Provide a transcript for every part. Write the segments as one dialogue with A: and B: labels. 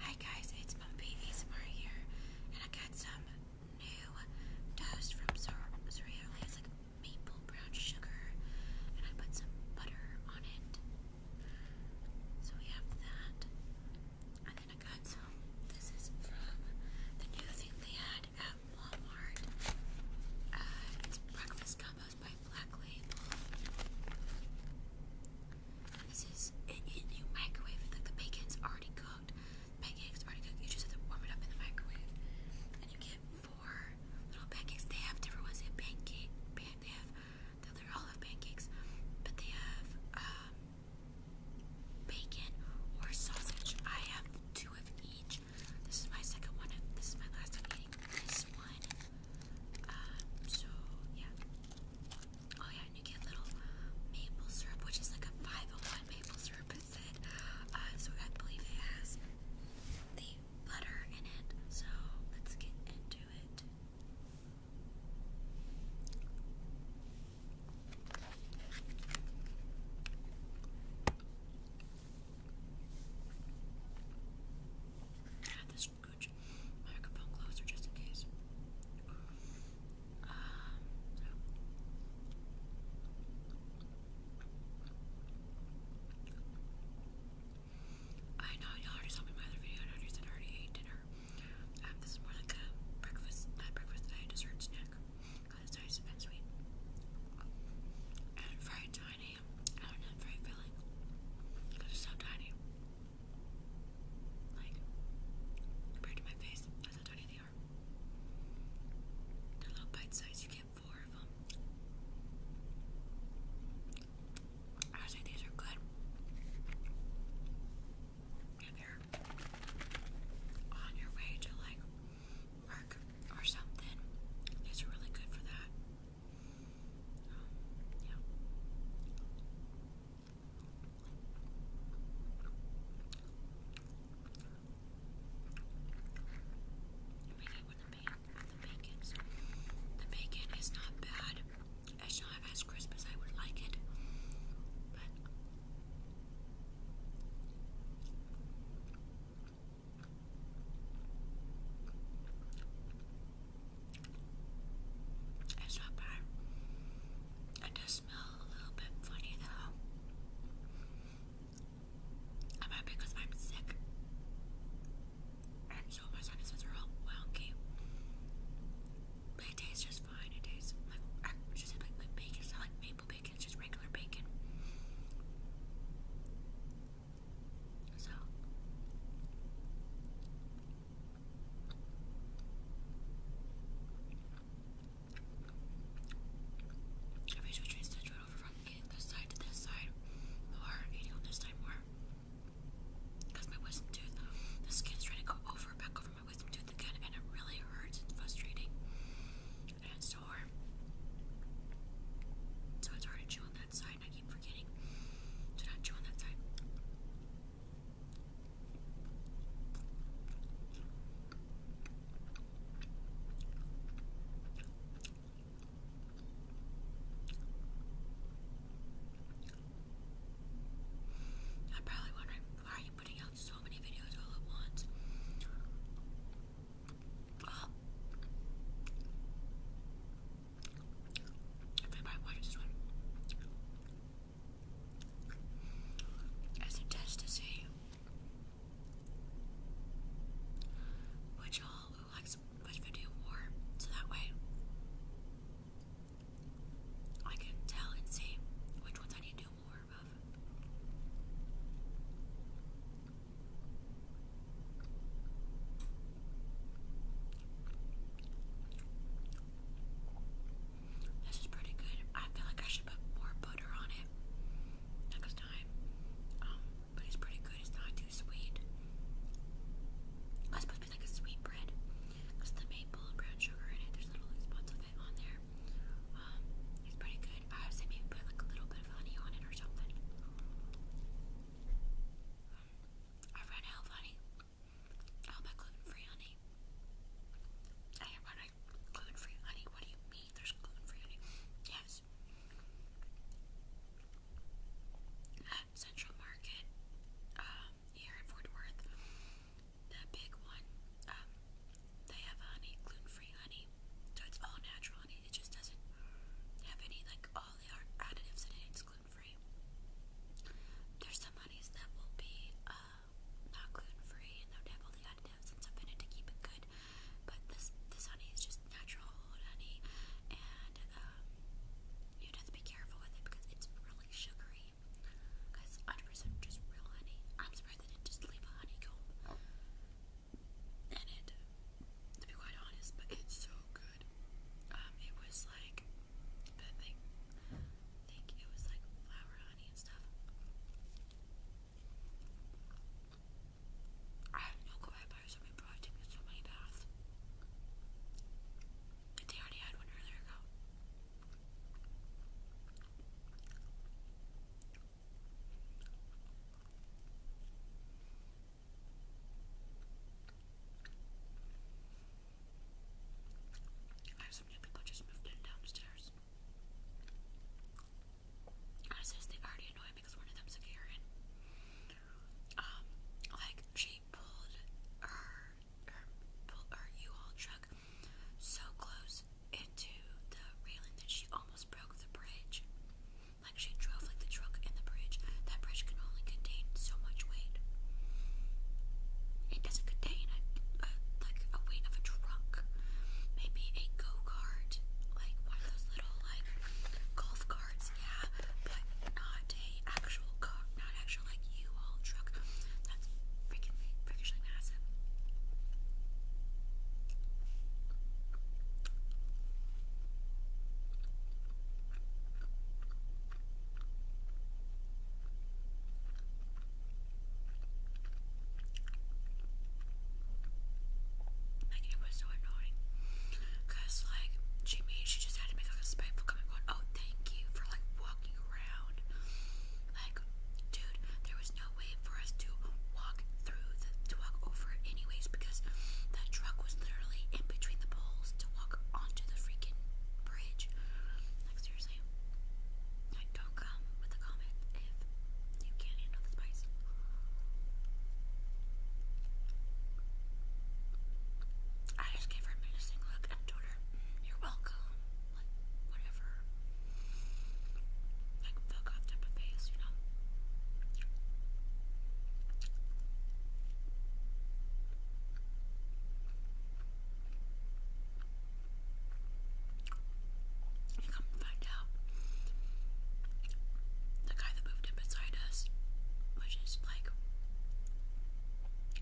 A: Hi guys, it's Bumpy ASMR here, and I got some new toast from Cereal. It's like maple brown sugar, and I put some butter on it. So we have that, and then I got some. This is from the new thing they had at Walmart. Uh, it's breakfast combos by Black Label. This is it, it, you microwave it, like the bacon's already cooked. Pancakes already cooked. You just have to warm it up in the microwave. And you get four little pancakes. They have different ones. They have pancake, pan, they have, they all have pancakes, but they have um, bacon or sausage. I have two of each. This is my second one. Of, this is my last time eating this one. Um, Oh yeah, and you get little maple syrup, which is like a 501 maple syrup instead. Uh, so I believe it has the butter in it. So let's get into it. Um, I know y'all already saw me in my other video. I already said I already ate dinner. Um, this is more like a breakfast, not breakfast, a dessert snack. it's nice and sweet. very tiny. not very filling. Because so tiny. Like, compared to my face, that's how tiny they are. They're little bite sized, you get four of them. I would say these are good. If you're on your way to like work or something, these are really good for that the bacon. is not bad. It's not as crisp as I would like it, but. It's not bad. It does smell a little bit funny though. Am I because I'm sick? And so my sinuses are all wonky. But it tastes just fine. It tastes like just like, like bacon. It's not like maple bacon. It's just regular bacon. So I wish we transitioned over from this side to this side more, eating on this side more. Because my wisdom tooth, the skin's trying to go over, back over my wisdom tooth again, and it really hurts. It's frustrating. And it's sore. So it's hard to chew on that side. I keep forgetting to not chew on that side. I'm probably wondering why are you putting out so many videos all at once? Oh. If anybody watches this one, as a test to see which all who likes which video more, so that way I can tell and see which ones I need to do more of. This is pretty good. I feel like I should put more butter on it next time. Um, but it's pretty good. It's not too sweet. It's supposed to be like a sweet bread. Because the maple and brown sugar in it, there's little spots of it on there. Um, it's pretty good. I would say maybe put like a little bit of honey on it or something. I ran out of honey. How about gluten-free honey? I hear about gluten-free honey. What do you mean there's gluten-free honey? Yes. At Central Market, um, here in Fort Worth, the big one, um, they have honey, gluten-free honey. So it's all natural honey. It just doesn't have any like all the additives in it. It's gluten free. There's some honeys that will be uh, not gluten free and they'll have all the additives and stuff in it to keep it good. But this this honey is just natural honey, and um, you have to be careful with it because it's really sugary. Because 100% just real honey. I'm surprised they just leave a honeycomb in it, to be quite honest, but it's so good. Um, it was like, I think, think it was like flour, honey, and stuff. I have no clue why I bought so many bro, They already had one earlier ago. I have some new people just moved in downstairs. I already annoy because one of them's a Karen. Um, like she pulled her her pulled her U-Haul truck so close into the railing that she almost broke the bridge. Like she drove like the truck and the bridge. That bridge can only contain so much weight. It doesn't contain like a weight of a truck. Maybe a go-kart, like one of those little like golf carts, yeah, but not actual car, not actual like U-Haul truck. That's freaking freakishly massive. Like it was so annoying, cause like she made she just had to make like a spiteful comment "Oh, thank you for like walking around." Like, dude, there was no way for us to walk walk to walk over anyways because the truck was literally in between the poles to walk onto the freaking bridge. Like seriously. Like don't come with a comment if you can't handle the spice. I just gave her a menacing look and told her, mm, You're welcome. whatever like fuck off type of face, you know. come find out the guy that moved in beside us, which is like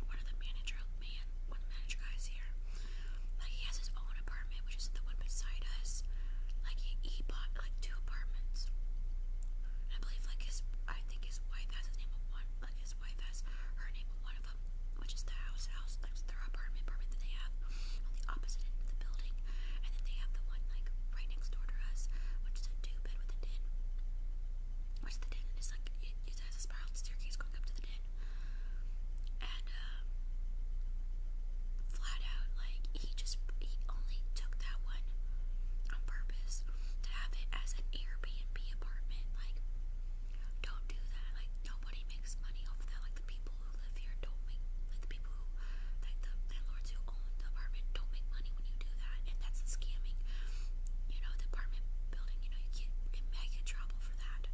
A: one of the manager man, one of the manager guys here. Like he has his own apartment, which is the one beside us this. Like he, he bought like two apartments. And I believe like his I think his wife has his name of one like his wife has her name of one of them, which is the house house like their apartment apartment that they have on the opposite end of the building. And then they have the one like right next door to us, which is a two bed with a den. Which the den is like it, it has a spiral staircase going up to the den. And um flat out like he just he only took that one on purpose to have it as an Airbnb apartment. Like, don't do that. Like, nobody makes money off that. Like the people who live here don't make like the people like the landlords who own the apartment don't make money when you do that, and that's scamming. You know, the apartment building. You know, you get in trouble for that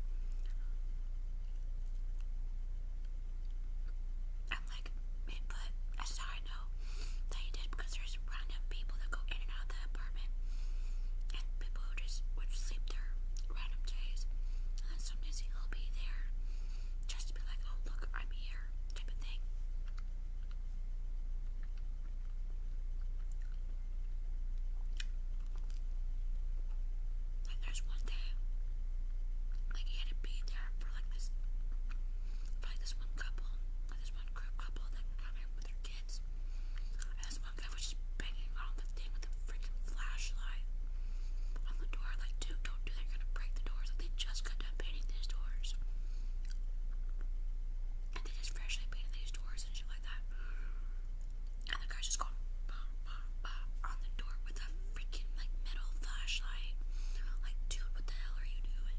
A: like it, but that's how know that you did because there's random people that go in and out the apartment, and people who just would sleep there random days, and then he'll be there just to be like, oh look, I'm here, type of thing. Like there's one day, like he had to be there for like this, like this one couple, like this one group couple that come here with their kids. And this one guy was just banging on the thing with a freaking flashlight on the door. Like, dude, don't do that. You're gonna break the doors. they just got done painting these doors. And they just freshly painted these doors and shit like that. And the guy's just going, bah, on the door with a freaking like metal flashlight. Like, dude, what the hell are you doing?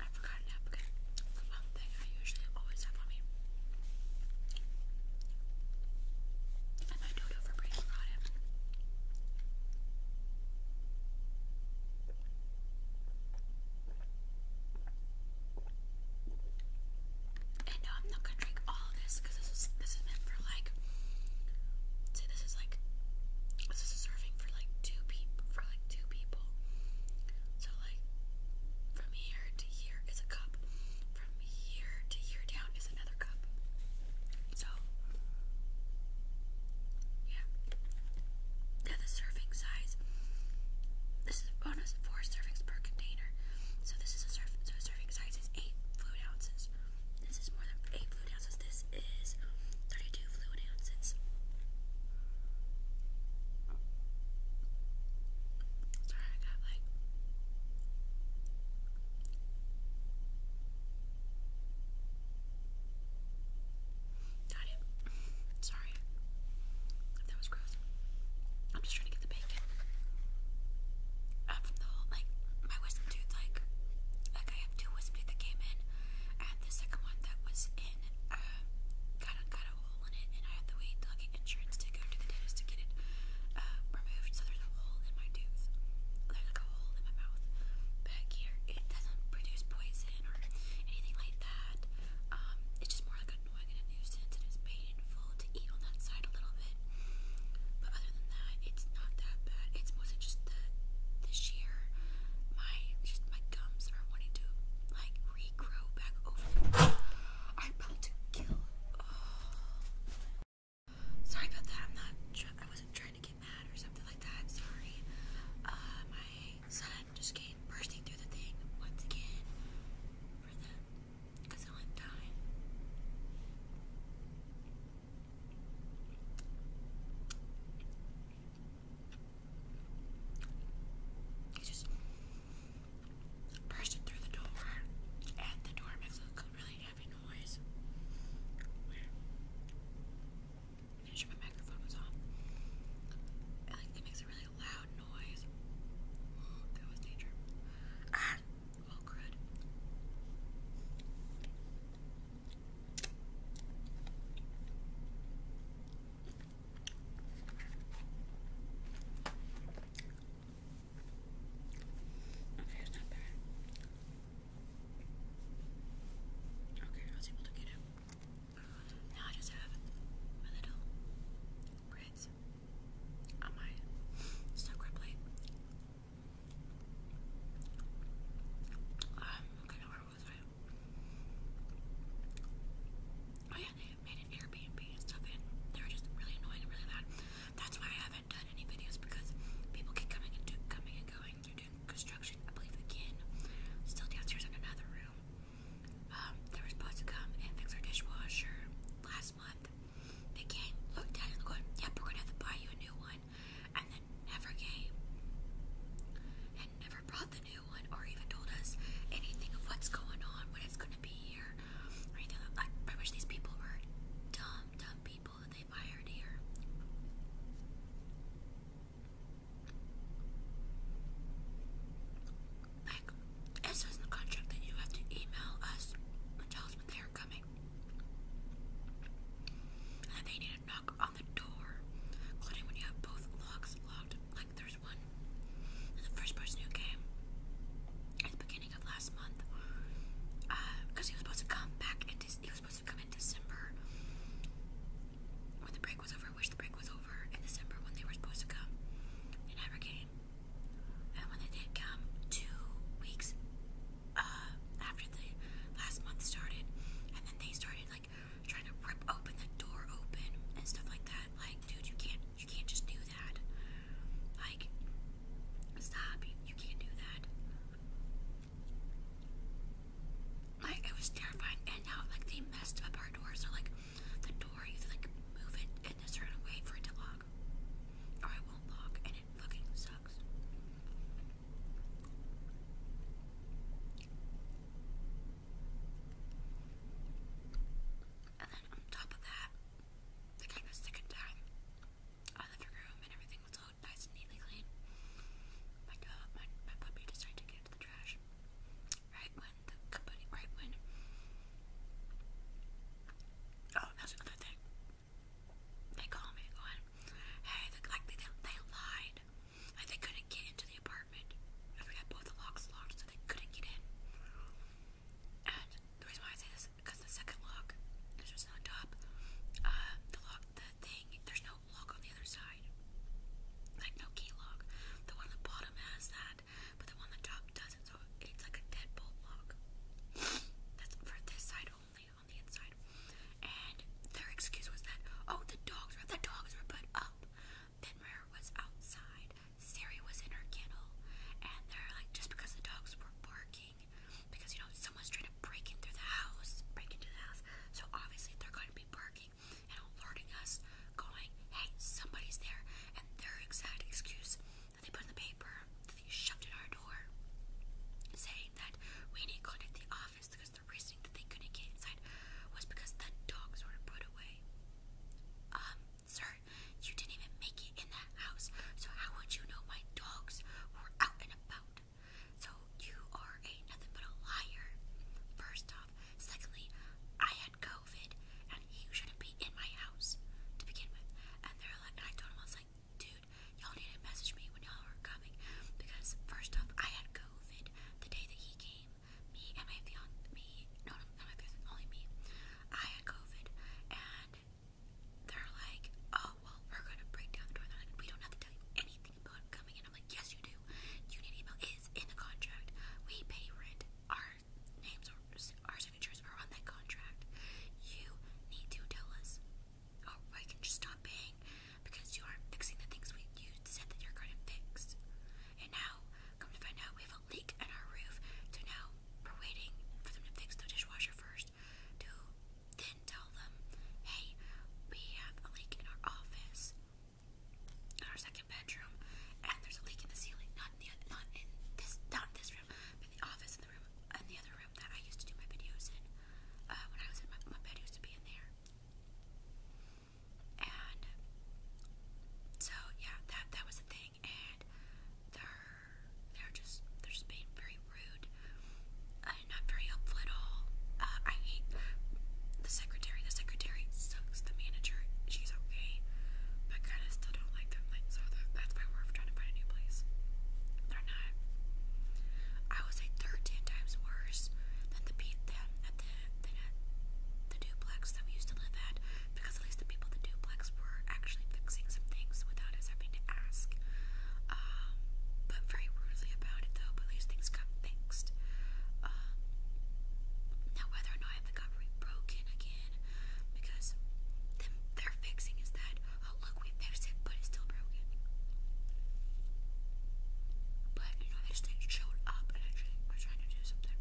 A: I forgot napkin. the one thing I usually always have on me. And my dodo for break it. And no, I'm not gonna drink all of this because this is this is for like. Say this is like this is a serving for like two people for like two people. So like from here to here is a cup. From here to here down is another cup. So yeah. Now the serving size. This is a bonus four servings per container. So this is a serv so a serving size is eight fluid ounces. This is more than eight fluid ounces. This is thirty-two fluid ounces. Sorry, I got like Got it. Sorry that was gross. I'm just trying to get the bacon out uh, from the whole, like, my wisdom tooth, like, like I have two wisdom teeth that came in. I the second one that was in, uh, got a, got a hole in it, and I had to wait till get insurance to go to the dentist to get it, uh, removed. So there's a hole in my tooth. There's like a hole in my mouth back here. It doesn't produce poison or anything like that. Um, it's just more like annoying and a nuisance, it's painful to eat on that side a little bit. But other than that, it's not that bad. It's mostly just the the sheer my just my gums are wanting to like regrow back over. I'm about to kill. Oh. Sorry about that. I'm not. I wasn't trying to get mad or something like that. Sorry. Uh, my son just came bursting through the thing once again He just bursted through the door, and the door makes a really heavy noise. Not sure my microphone is off. like it makes a really loud noise. Oh, that was danger. Ah, oh, crud. Okay, it's not bad. Okay, I was able to get it. Now I just have my little breads on my soaker plate. Um, okay, now where was I? Oh yeah, they made an Airbnb and stuff, and they were just really annoying really loud. That's why I haven't done any videos because people keep coming and coming and going construction, I believe again. Still downstairs in another room. Um, they were supposed to come and fix our dishwasher last month. They came, looked at it, going, "Yep, we're gonna have to buy you a new one," and then never came, and never brought the new one, or even told us anything of what's going on, when it's gonna be here, or anything. I wish these people were dumb, dumb people that they hired here. Like, it says in the contract that you have to email us and tell us they are coming. And they need to knock on the door, including when you have both locks locked. Like, there's one. And the first person who came at the beginning of last month, because uh, he was supposed to come back and he supposed to come in December when the break was over. I wish the break was over in December when they were supposed to come. They never came. And when they did come, two weeks uh, after the last month started, and then they started like trying to rip open the door open and stuff like that. Like, dude, you can't, you can't just do that. Like, stop. you can't do that. Like it was terrifying, and now like they messed up our doors. so like the door you have to like move it in a certain way for it to lock, or it won't lock, and it fucking sucks. And then on top of that, the kind of second time, I left her room and everything was all nice and neatly clean. My my, my puppy decided to get the trash. Oh, they call me hey, they, lied. they couldn't get into the apartment. And we both the locks locked, so they couldn't get in. And the reason why I say this is because the second lock, there's just on top. Uh, the lock, the thing, there's no lock on the other side. Like no key lock. The one on the bottom has that, but the one on the top doesn't, so it's like a deadbolt lock. That's for this side only, on the inside. And their excuse was that, oh, the dogs were, dogs were put up. Then was outside, Sari was in her kennel, and they're like, just because the dogs were barking, because, you know, someone's trying to breaking through the house, breaking through the house. So obviously they're going to be barking and alerting us, going, "Hey, somebody's there!" And their exact excuse that they put in the paper that they shoved at our door, saying that we need to contact the office because the reason that they couldn't get inside was because the dogs were put away. Um, sir, you didn't even make it in that house, so how would you know my dogs were out and about? So you are a nothing but a liar. First off. Secondly, I had COVID and he shouldn't be in my house to begin with. And they're like and I told him I was like, dude, y'all need to message me when y'all are coming because first off I had COVID the day that he came. Me and my fiance me no not my fiance, only me. I had COVID and they're like, oh well, we're gonna break down the door. They're like, we don't have to tell you anything anything coming in. I'm like, yes, you do. Union email is in the contract. We pay rent. Our names our signatures are on that contract. You need to tell us. Oh, I can just stop paying because you aren't fixing the things we you said that you're going to fix. And now, come to find out, we have a leak in our roof. So now we're waiting for them to fix the dishwasher first to then tell them, hey, we have a leak in our office, in our second bedroom, and there's a leak in the ceiling. Not in this not this room, but the office in the room in the other room that I used to do my videos in. Uh, when I was in my, my bed used to be in there. And so yeah, that that was the thing, and they're they're just they're just being very rude. I'm not very helpful at all. Uh, I hate the secretary. The secretary sucks. The manager, she's okay, but kind of still don't like them. Like, so that's why we're trying to find a new place. They're not. I would say they're ten times worse than the than at the than at uh, the duplex that we used to live at, because at least the people at the duplex were actually fixing some things without us having to ask um, but very rudely about it though, but at things got fixed. Um, now whether or not it got rebroken again, because them, their fixing is that, oh look, we fixed it, but it's still broken. But, you know, they just showed up and actually were trying to do something.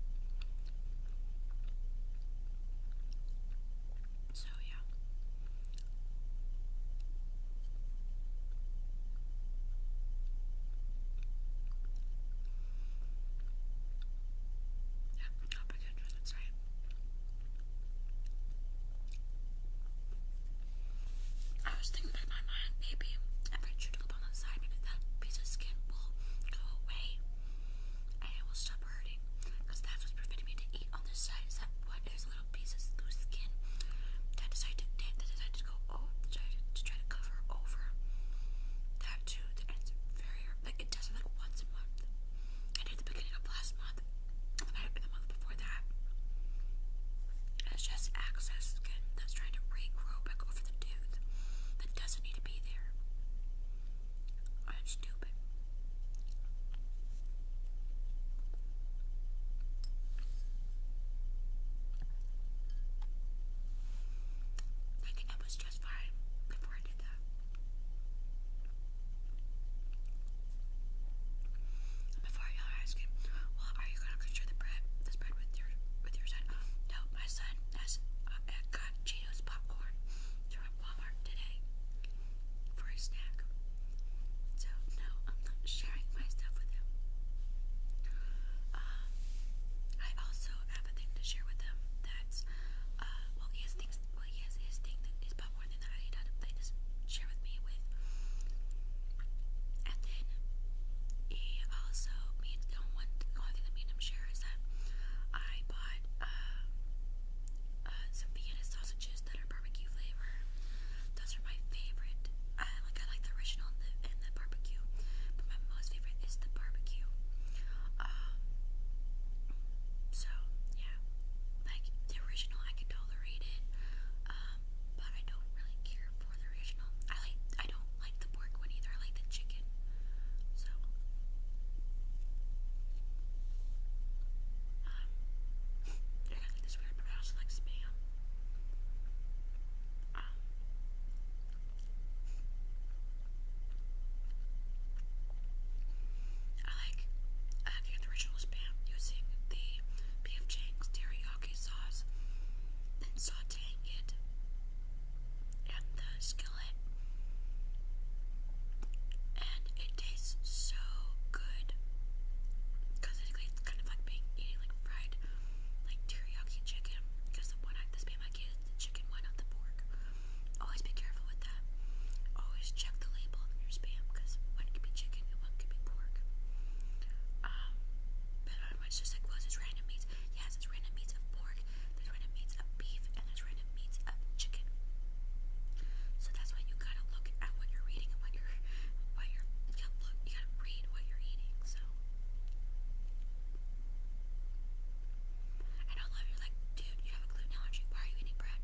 A: So, yeah. Yeah, Alpaca, that's right. I was thinking in my mind, maybe if I chew it up on the side, maybe that piece of skin will go away and it will stop hurting. Because that's preventing me to eat on this side is that one there's little pieces, loose skin that decided decided to go oh to, try to cover over that too. And very like it does it like once a month. And at the beginning of last month, the month the month before that, it's just excess skin that's trying to regrow back over the tooth that doesn't need to be there. I'm stupid. I was just fine before I did that. Before I yelled at ice cream, well, are you gonna consider the bread, this bread with your with your son? No, my son has uh, got Cheetos popcorn from Walmart today for a snack. So, no, I'm not sharing my stuff with him. Um, I also have a thing to share with him that's, uh, well, he has things, well, he has his thing, his popcorn thing that I eat out of, that share with me with. And then, he also, me and, the one, one thing that me share is that I bought, uh, uh, some Vienna sausages sandwiches that are barbecue flavor. Those are my favorite. like I like the original and the, barbecue, but my most favorite is the barbecue. Um, so yeah, like the original I can tolerate it, um, but I don't really care for the original. I like I don't like the pork one either. I like the chicken. So. Um, is ah. I like the original spam using the P.F. Chang's sauce, then sauteing it and the skillet, and it it tastes so good. Because it's kind of like being eating like fried like teriyaki chicken. Because the one I this made my kid is the chicken one, not the pork. Always be careful with that. Always check the label on your spam because one could be chicken and one could be pork. Um, but I was just like, well, it's random meats. Yes, it's random meats of pork. There's random meats of beef and there's random meats of chicken. So that's why you gotta look at what you're reading and what you're, what you're, you gotta look, you gotta read what you're eating. So I love you're like, dude, you have a gluten allergy. Why are you eating bread?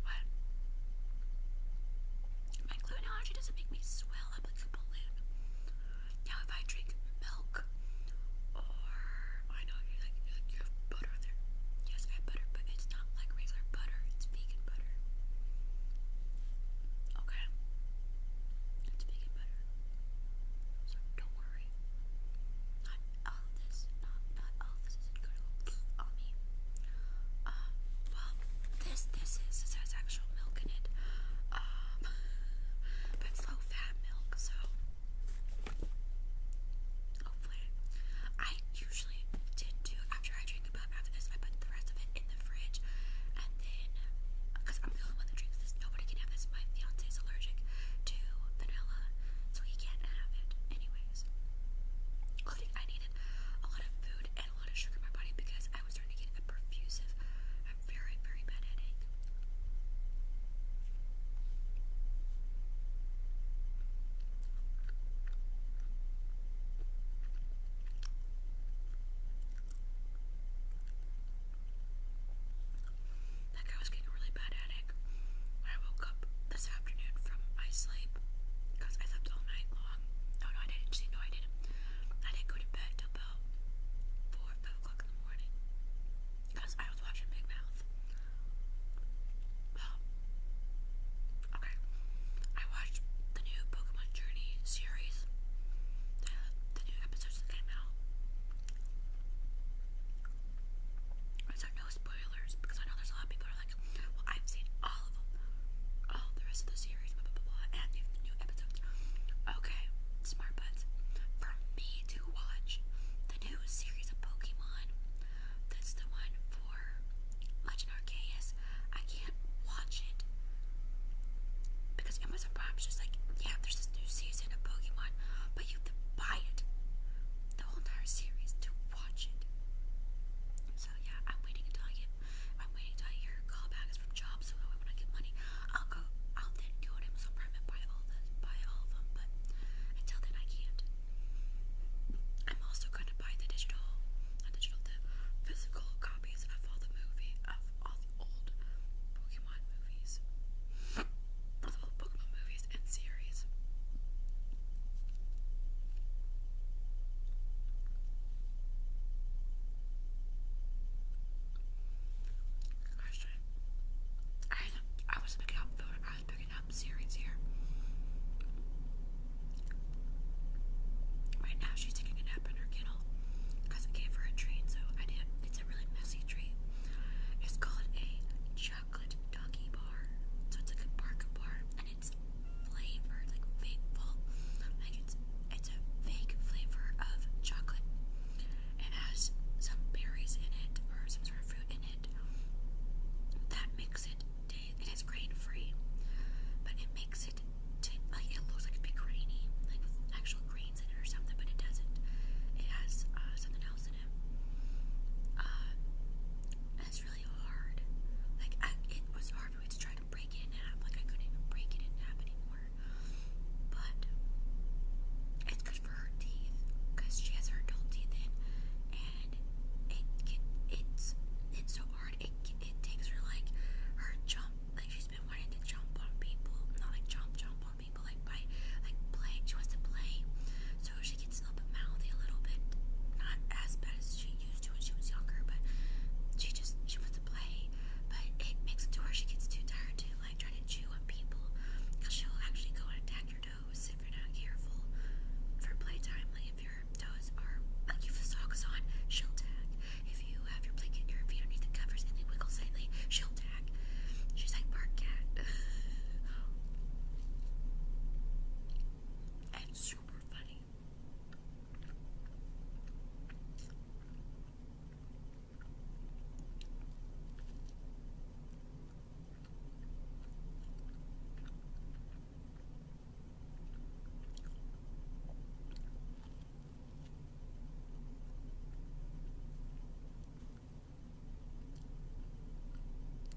A: What? My gluten allergy doesn't make me swell up like a balloon. Now if I drink milk or I know you like like you have butter on there. Yes, I have butter, but it's not like regular butter. It's vegan butter. Okay, it's vegan butter. So don't worry. Not this. Not not all this isn't good Um, well, this this is this has actual milk in it. Um, but it's low fat milk, so. Hopefully. I usually did do, after I drink a pop after this, I put the rest of it in the fridge. And then, because I'm the only one that drinks this, nobody can have this. My fiance is allergic to vanilla, so he can't have it, anyways. I needed a lot of food and a lot of sugar in my body because I was starting to get a perfusive, a very, very bad headache. That guy was getting really bad headache I woke up this afternoon from my sleep because I slept all night long. Oh no, I didn't. See, no, I didn't. I didn't go to bed till about four, five o'clock in the morning. Because I was watching Big Mouth. okay. I watched the new Pokemon Journey series, the, the new episodes that came out. These are no spoilers because I know there's a lot of people are like, well, I've seen all of them, all oh, the rest of the series, blah, blah, blah, and the new episodes. Okay, smart butts. For me to watch, the new series of Pokemon. That's the one for Legend I can't watch it because Amazon Prime's just like, yeah, there's this new season of Pokemon, but you have to buy it, the whole entire series, to watch it. So yeah, I'm waiting until I get, I'm waiting until hear callbacks from jobs so when I get money, I'll go. I'll then go to Amazon Prime and buy all the buy all of them. But until then, I can't. I'm also going to buy the digital, the physical copies of all the movie of all the old Pokemon movies, of all Pokemon movies and series. I was picking up food. I was picking up series here. Right now she's taking a nap in her kennel because I gave her a treat. So I did. It's a really messy treat. It's called a chocolate doggy bar. So it's like a bark bar, and it's flavored like fake Like it's it's a fake flavor of chocolate it has some berries in it or some sort of fruit in it that makes it it is grain free, but it makes it like it looks like it'd be grainy, like with actual grains in it or something, but it doesn't. It has uh, something else in it. Uh, it's really hard. Like it was hard for me to try to break it in half. Like I couldn't even break it in half anymore. But it's good for her teeth because she has her adult teeth in, and it, it it's it's so hard. It it takes her like her jump. Like she's been wanting to jump on people, not like jump jump on people, like by like play. She wants to play, so she gets a little bit mouthy, a little bit not as bad as she used to when she was younger, but she just she wants to play. But it makes it to where she gets too tired to like try to chew on people she'll actually go and attack your toes if you're not careful. For playtime, like if your toes are like you have socks on, she'll tag. If you have your blanket, your feet underneath the covers, and they wiggle slightly, she'll tag. She's like bark cat. and super funny. I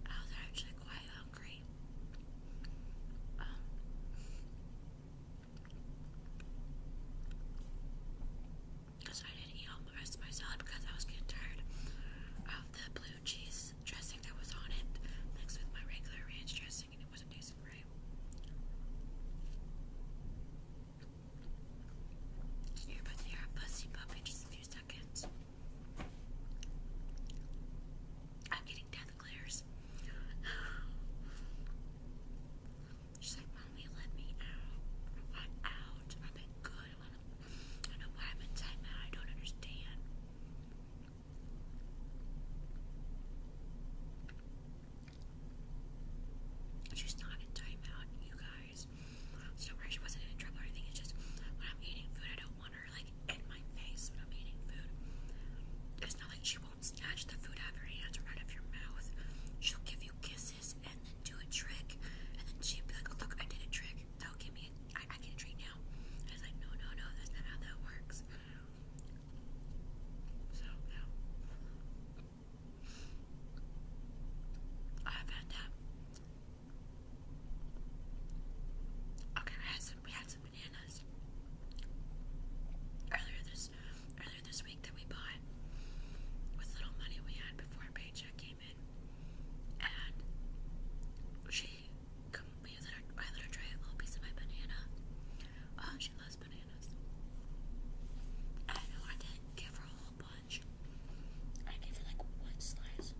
A: oh, was actually quite hungry. Um because I didn't eat all the rest of my salad because I was getting tired of the blue cheese dressing that was on it mixed with my regular ranch dressing and it wasn't tasting right. You're about to a fussy puppy just a few seconds. I'm getting death glares. She's like, Mommy, let me out. out. I've been good. I, wanna, I don't know why i don't understand. She's not in timeout, you guys. So, where she wasn't in trouble or anything, it's just when I'm eating food, I don't want her like in my face when I'm eating food. It's not like she won't snatch the food out of your hands or out of your mouth. She'll give you kisses and then do a trick, and then she'd be like, oh, "Look, I did a trick. That'll give me, a, I, I get treat now." And I was like, "No, no, no, that's not how that works." So yeah, I've had that. Okay, I had some. We had some bananas earlier this, this week that we bought with little money we had before paycheck came in. And she, we I let her try a little piece of my banana. Oh, she loves bananas. I know I didn't give her a whole bunch. I gave her like one slice.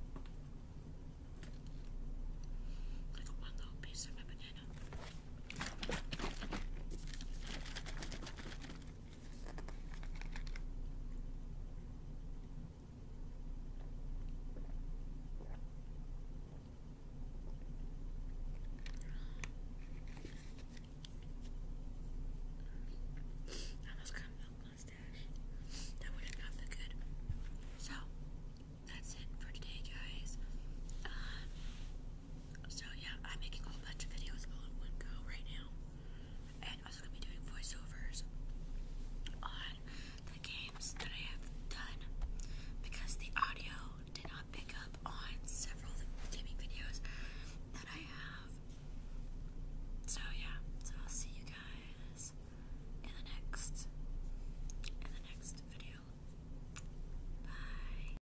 A: Like one little piece of my banana. I almost got a milk mustache. That would have been good. So, that's it for today, guys. Um, so yeah, I'm making a whole bunch of videos all in one go right now. And I'm also gonna be doing voiceovers on the games that I have done because the audio did not pick up on several gaming videos that I have. So yeah, so I'll see you guys in the next in the next video. Bye.